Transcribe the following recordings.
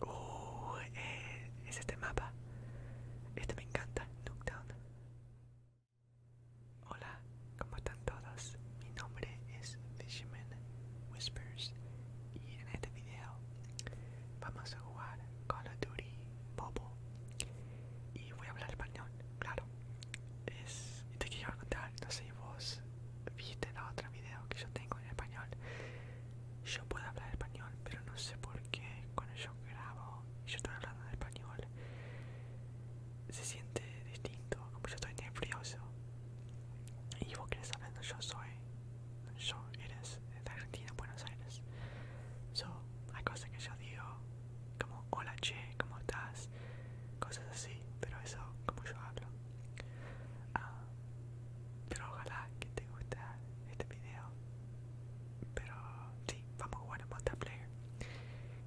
Uh, eh, es este mapa. Este me encanta, Hola, ¿cómo están todos? Mi nombre es Fisherman Whispers y en este video vamos a jugar Call of Duty Bobo. Y voy a hablar español, claro es y te quiero contar, no sé si vos viste la otra video que yo tengo en español. Yo puedo hablar español, pero no sé por qué cuando yo grabo y yo estoy hablando en español se siente distinto, como yo estoy nervioso. Y vos querés saber, no, yo soy, yo eres de Argentina, Buenos Aires. So, hay cosas que yo digo, como hola che, ¿cómo estás? cosas, así, pero eso como yo hablo. Ah, pero ojalá que te guste este video. Pero sí, vamos a jugar en multiplayer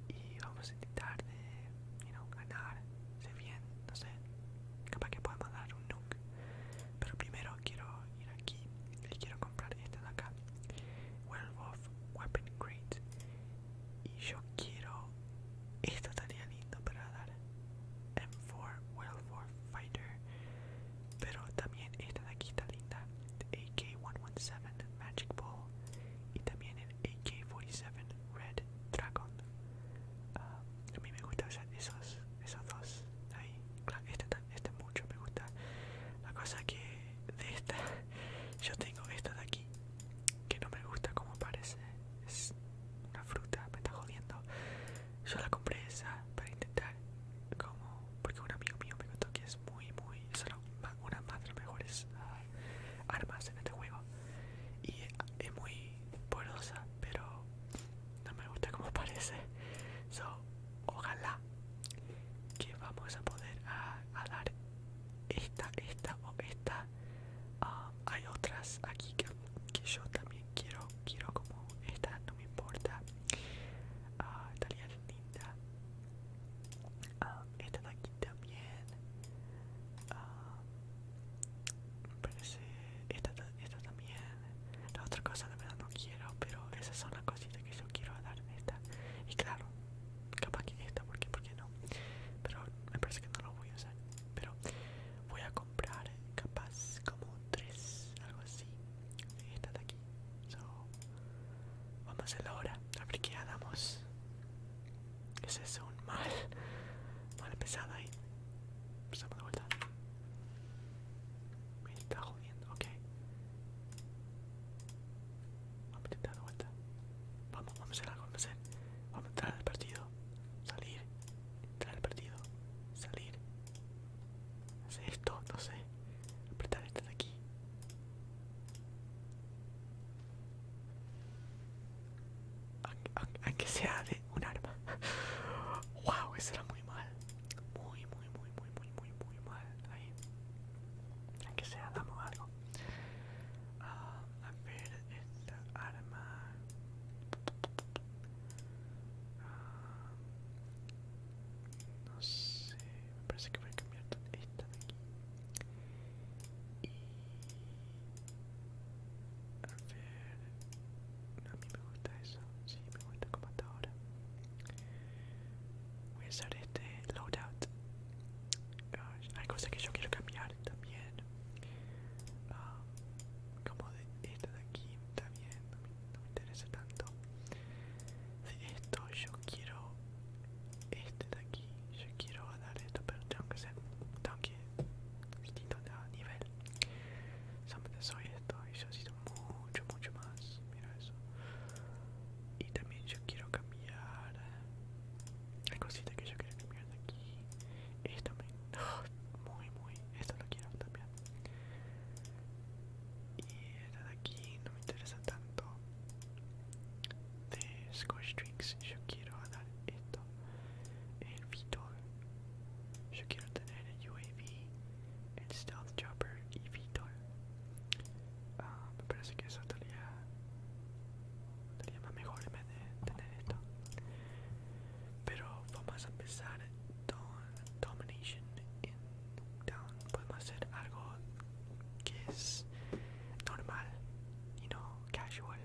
y vamos a intentar de you know, ganar, Si bien, no sé, capaz que podemos dar un nuke. Pero primero quiero ir aquí y quiero comprar esta de acá. of Weapon Crate y yo quiero esto estaría lindo para dar M4 World War Fighter pero también esta de aquí está linda el AK-117 Magic Ball y también el AK-47 Red Dragon ah, a mí me gusta esos, esos dos ahí claro, este, este mucho me gusta la cosa que de esta yo tengo esta de aquí que no me gusta como parece. Es una fruta, me está jodiendo. Yo la compré esa para intentar, como, porque un amigo mío me contó que es muy, muy, es una, de las mejores ah, armas en este juego. Y es muy poderosa, pero no me gusta como parece. So, ojalá que vamos a poder ah, a dar esta, esta o esta. Ah, hay otras aquí que, yo también quiero, quiero como esta, no me importa. Ah, estaría linda. Ah, esta de aquí también. parece esta, esta también. La otra cosa la verdad no quiero, pero esas son las cositas que yo quiero dar esta. Y claro, capaz que esta, porque ¿por no? pero me parece que no lo voy a usar pero voy a comprar capaz como tres algo así esta de aquí vamos a hacerlo ahora a ver qué hagamos ese es un mal mal pesada ahí estamos de vuelta me está jodiendo ok Vamos a intentar dar vuelta. Vamos, vamos a hacer algo, vamos a a entrar al partido. Salir. Entrar al partido. Salir. Hacer esto, no sé. Apretar esta de aquí. Aunque sea de un arma. wow, eso era muy mal. Muy, muy, muy, muy, muy, muy, muy mal. Ahí. Aunque sea, damos algo. one. Um, I'm it's out of my. Um, no sé, me parece que voy a cambiar esta de aquí. Y. A ver. No, a mí me gusta eso. Sí, me gusta como hasta ahora. Voy a usar este loadout hay cosas que yo quiero cambiar también ah, como de esto de aquí también no me, interesa tanto de esto yo quiero este de aquí yo quiero dar esto pero tengo que ser tengo que distinto de nivel solamente soy esto y yo soy mucho mucho más mira eso y también yo quiero cambiar la cosita que yo quiero cambiar de aquí esto me muy muy esto lo quiero también y esta de aquí no me interesa tanto de squash Drinks yo quiero dar esto el Vitor yo quiero tener el UAV el Stealth Chopper y Vitor Ah, me parece que eso estaría, más mejor en vez de tener esto. Pero vamos a empezar con Domination in Down. Podemos hacer algo que es normal y no casual,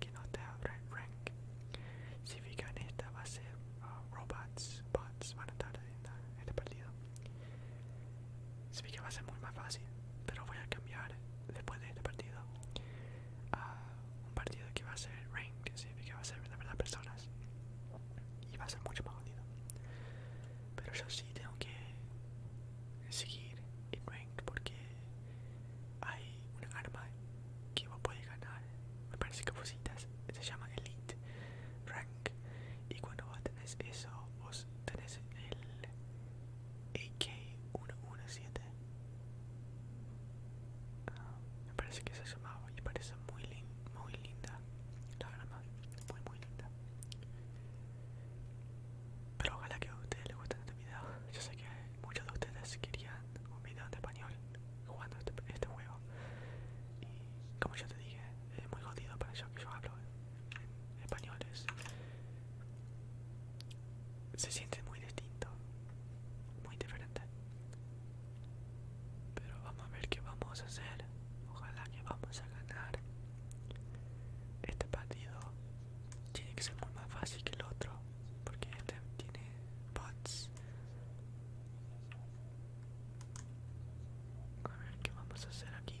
que no te abra rank. Si fijan, esta va a ser ah, robots, bots van a estar en este partido. Se que va a ser muy más fácil, pero voy a cambiar después de este partido a un partido que va a ser rank se que va a ser de verdad personas y va a ser mucho más jodido. Pero yo sí tengo que seguir en rank porque hay una arma que vos puedes ganar, me parece que vos citas, se llama Elite Rank y cuando vos tenés eso, vos tenés el AK117. Ah, me parece que se llamaba y parece muy, muy linda la grama, muy muy linda. Pero ojalá que a ustedes les guste este video. Yo sé que muchos de ustedes querían un video en español jugando este, este juego. Y como yo te dije, es muy jodido para yo que yo hablo españoles se siente muy distinto muy diferente pero vamos a ver qué vamos a hacer ojalá que vamos a ganar este partido tiene que ser más fácil que el otro porque este tiene bots a ver qué vamos a hacer aquí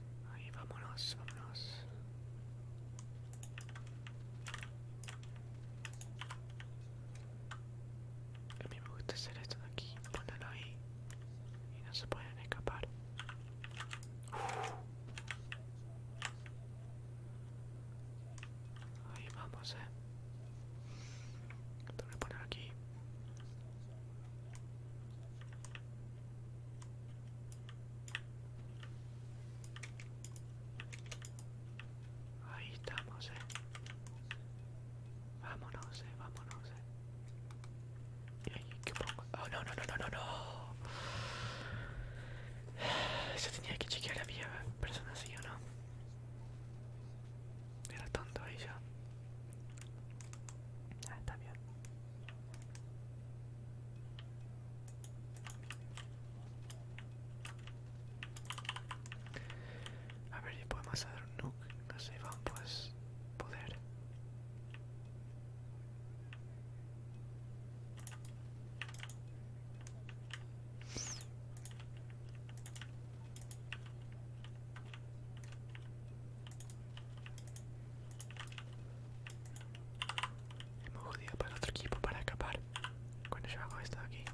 Ahí, vámonos, vámonos. A mí me gusta hacer esto de aquí, ponerlo ahí. Y no se pueden escapar. Ahí vamos, eh. Tú me poner aquí. Ahí estamos, eh. Vámonos, eh, vámonos, eh. qué pongo? Oh, no, no, no, no, no, no. Yo tenía que chequear la mi persona así o no. Era tonto ella Ah, está bien. A ver si podemos hacer un nuke. No sé, vamos pues, a poder. Hemos muy jodido para otro equipo para escapar. Cuando yo hago esto aquí.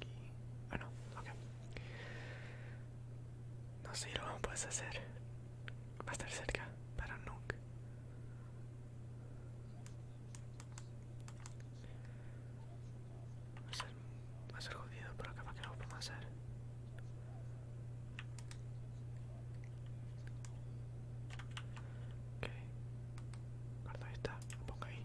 Aquí. Ah, no, ok. No sé, lo vamos a hacer. Va a estar cerca, para nunca. Va a ser, jodido, pero capaz que no lo podemos hacer. Ok. Guarda esta, la pongo ahí.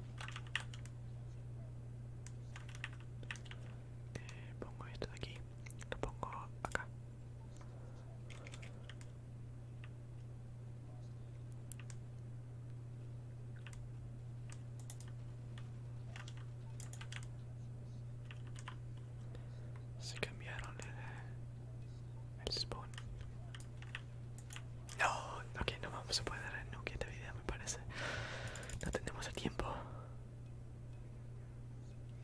pongo esto de aquí, lo pongo acá. Se cambiaron el, spawn. No, ok, no vamos a poder no nuke de este vida me parece. No tenemos el tiempo.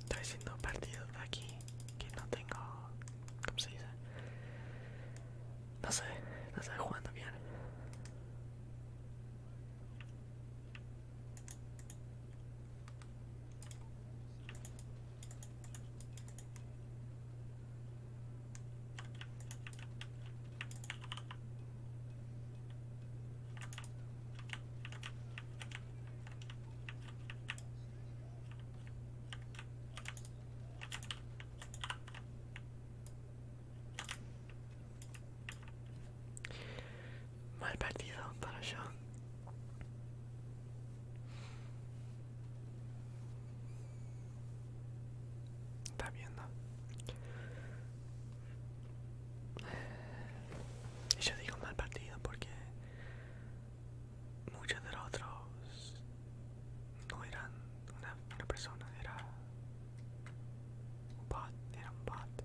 Estoy siendo partido aquí, que no tengo... ¿Cómo se dice? No sé, no estoy jugando bien. Mal partido para yo. está viendo? Y yo digo mal partido porque muchos de los otros no eran una, persona, era un bot, era un bot.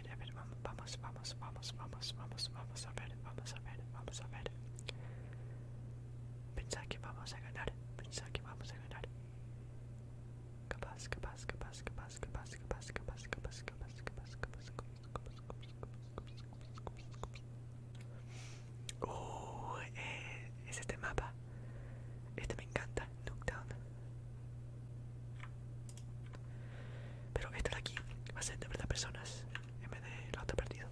vamos, vamos, vamos, vamos, vamos, vamos, a ver, vamos a ver, vamos a ver. Pensá que vamos a ganar, pensá que vamos a ganar. Capaz, capaz, capaz, capaz, capaz, capaz, capaz, capaz, capaz, capaz, capaz, capaz, capaz, este mapa. Este me encanta, pero este de aquí va a ser de verdad personas en vez de otro partido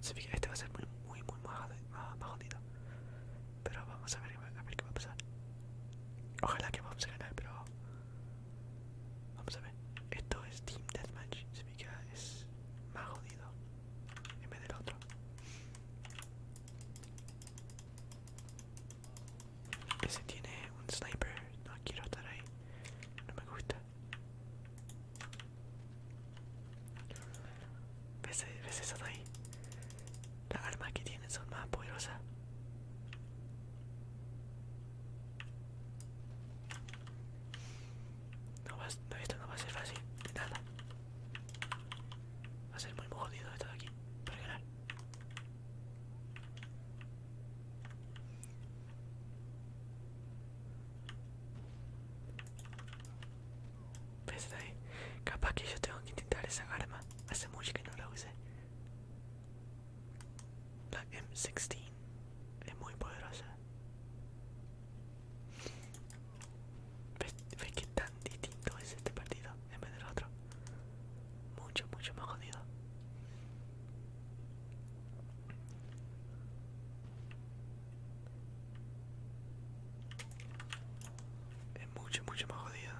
este va a ser muy, muy, muy más, jodido. Pero vamos a ver, a ver qué va a pasar. Ojalá que vamos a ganar, pero vamos a ver. Esto es Team Deathmatch, se fija, es más jodido en vez del otro. Ese tiene un sniper. No quiero estar ahí. No me gusta. ¿Ves, ¿Ves eso ahí? Las armas que tienen son más poderosas. No, esto no va a ser fácil, de nada. Va a ser muy jodido esto de aquí, para ganar. Pues ahí. Capaz que yo tengo que intentar esa arma. Hace mucho que no la usé. La M16 es muy poderosa. ¿Ves pues, qué tan distinto es este partido en vez del otro? Mucho, mucho más jodido. Es mucho, mucho más jodido.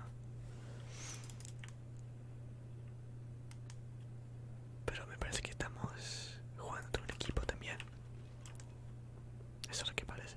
Pero me parece que estamos jugando un equipo también. Eso es lo que parece.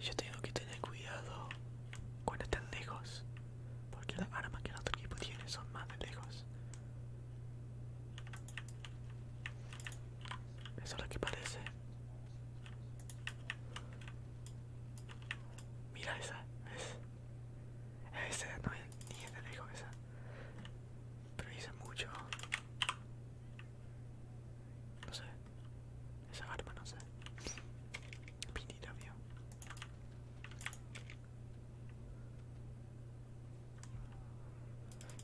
Yo tengo que tener cuidado cuando están lejos, porque las armas que el otro equipo tiene son más de lejos. Eso es lo que parece. Mira esa, Ese no es ni es de lejos esa. Pero hice mucho. No sé. Esa arma no sé. Pinita mío.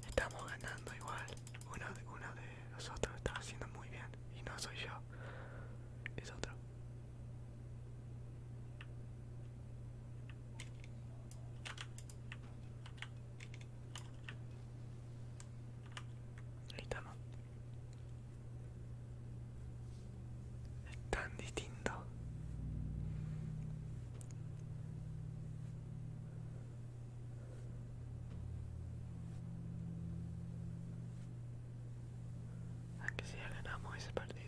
Estamos ganando igual. Uno de, uno de nosotros está haciendo muy bien. Y no soy yo. Es otro. Ahí estamos. Es tan distinto. Aunque si ya ganamos ese partido.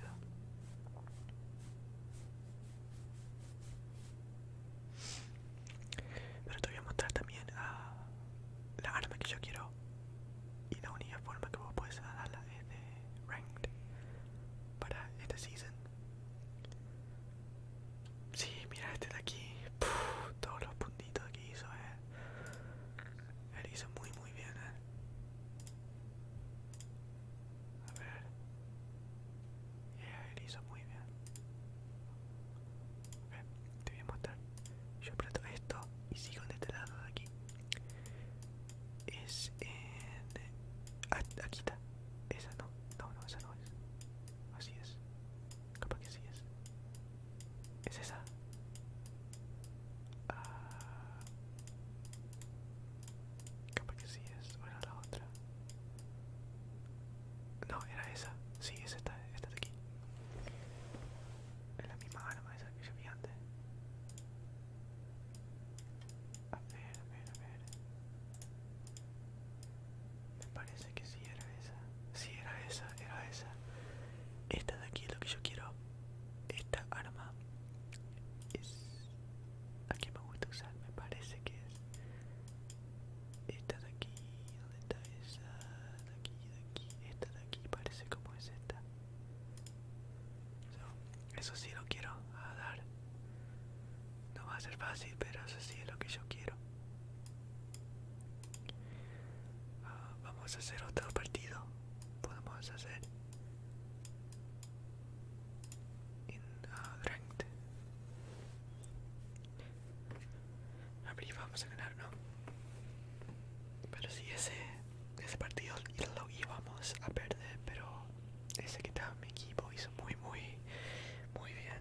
Pero te voy a mostrar también ah, la arma que yo quiero. Y la única forma que vos puedes darla es de Ranked para esta season. Sí, mira este de aquí. todos los puntitos que hizo, eh. Él hizo muy, muy bien, eh. A ver. Yeah, ver, hizo muy bien. te voy a mostrar. Yo aprieto esto y sigo en este lado de aquí. Es en... Ah, aquí está. Esa no. No, no, esa no es. Así es. Capaz que sí es. Es esa. Ah, capaz que sí es, o era la otra. No, era esa. Sí, es esta, esta de aquí. Es la misma arma esa que yo vi antes. A ver, a ver, a ver. Me parece que sí era esa. Sí, era esa, era esa. Esta de aquí es lo que yo quiero. Esta arma es la que me gusta usar, me parece que es esta de aquí, ¿dónde está esa? De aquí, aquí, esta de aquí, parece como es esta. eso sí lo quiero dar. No va a ser fácil, pero eso sí es lo que yo quiero. Ah, vamos a hacer otro partido podemos hacer en A ver, y vamos a ganar no pero si ese ese partido lo íbamos a perder pero ese que estaba mi equipo hizo muy muy muy bien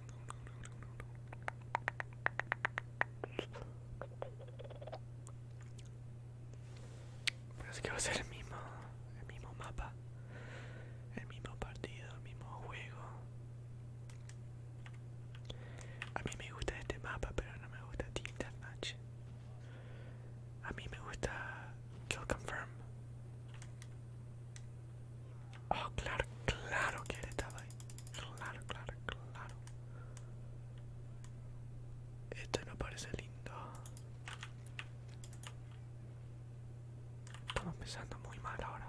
Parece que va a ser el mismo, el mismo mapa, el mismo partido, el mismo juego. A mí me gusta este Team Deathmatch. A mí Kill Confirm. Oh, claro, claro que estaba ahí. Claro, claro, claro. Esto no parece lindo. Estamos empezando muy mal ahora.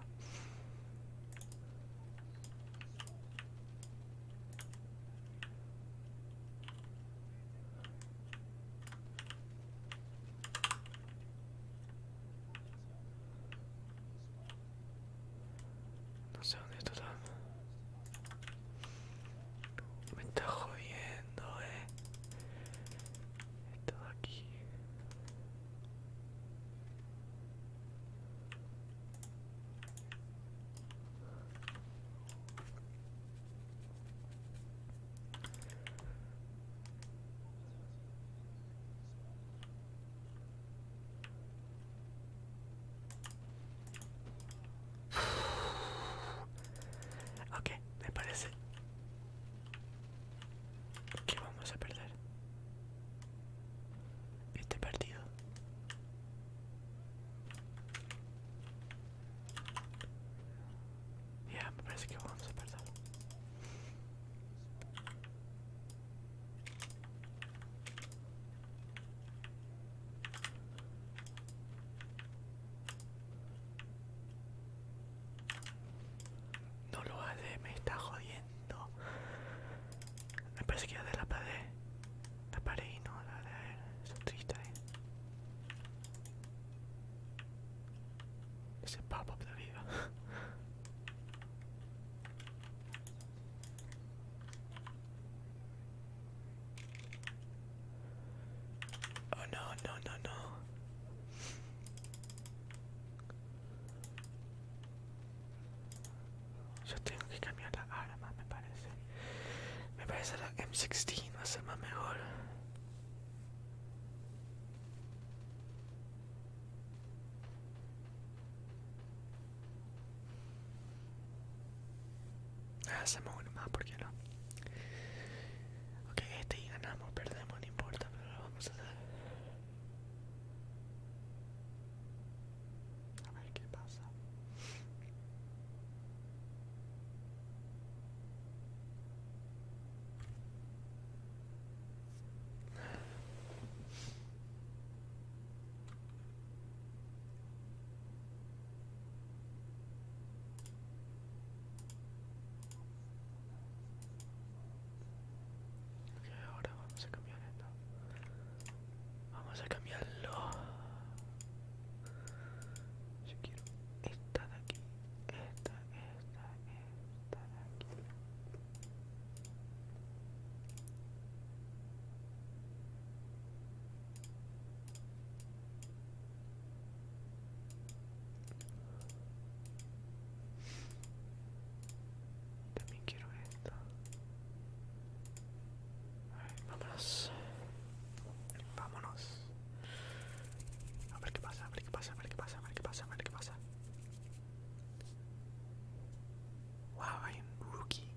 No sé dónde está Me está jodiendo, eh. Está aquí. Ok, me parece que vamos a perder este partido. Ya, me parece que vamos a perder. No lo haré, me está jodiendo. Me parece que ya de la pared. La pared y no la de es triste. ¿eh? Ese pop-up de vida. Oh no, no, no, no. Yo tengo que cambiar la arma, me parece. Me parece la M16 va a ser más mejor. Hacemos ah, uno más, porque no? Ok, este y ganamos, perdemos, no importa, pero vamos a A ver qué pasa. Ok, ahora vamos a cambiar esto. Vamos a cambiarlo. Si quiero esta de aquí. Esta, esta, estar aquí también quiero esto vámonos vámonos a ver qué pasa, a ver qué pasa, a ver qué pasa, a ver qué pasa, a ver qué pasa. Wow, hay un rookie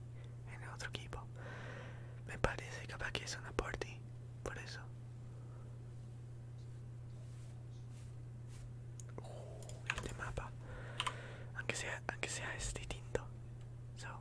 en el otro equipo. Me parece que es una party, por eso. Uh, este mapa, aunque sea, aunque sea este distinto. So.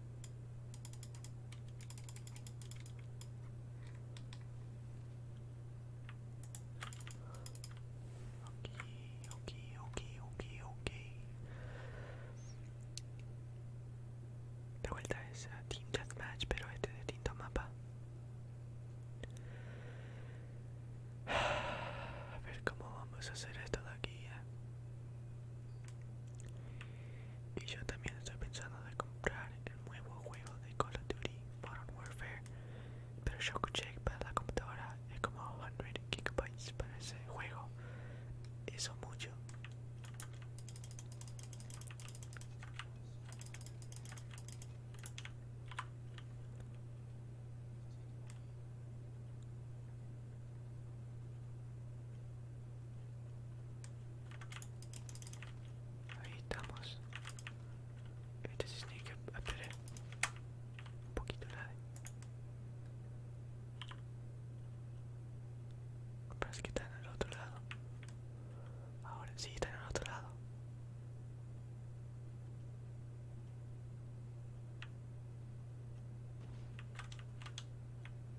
ok, ok, ok, ok. De vuelta es a Team Deathmatch, pero este es distinto mapa. A ver cómo vamos a hacer esto de aquí. Y yo también estoy pensando de comprar el nuevo juego de Call of Duty Modern Warfare, pero yo escuché que para la computadora es como 100 gigabytes para ese juego, eso mucho. Ahí estamos. Este se tiene que ah, esperar un poquito la Parece que está en el otro lado. Ahora sí está en el otro lado.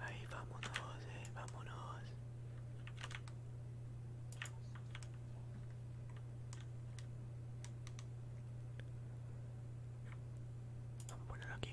Ahí vámonos, eh, vámonos. Vamos a ponerlo aquí.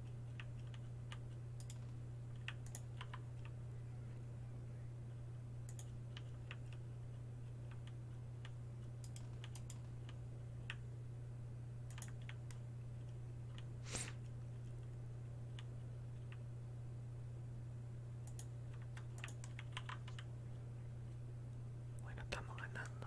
Bueno, estamos ganando.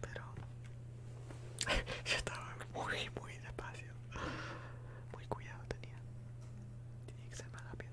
pero yo estaba muy, muy despacio. Muy cuidado tenía. Tenía que ser más rápido.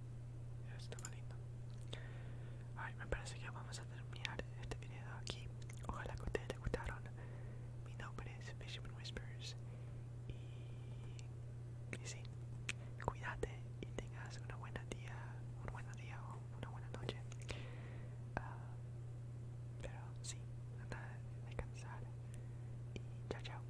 Está lindo. Ay, me parece que vamos a terminar este video aquí. Ojalá que ustedes les gustaron. Mi nombre es and Whispers. Y, y sí, cuídate y tengas una buena día, un buen día o una buena noche. Ah, pero sí, nada de cansar Y chao, chao.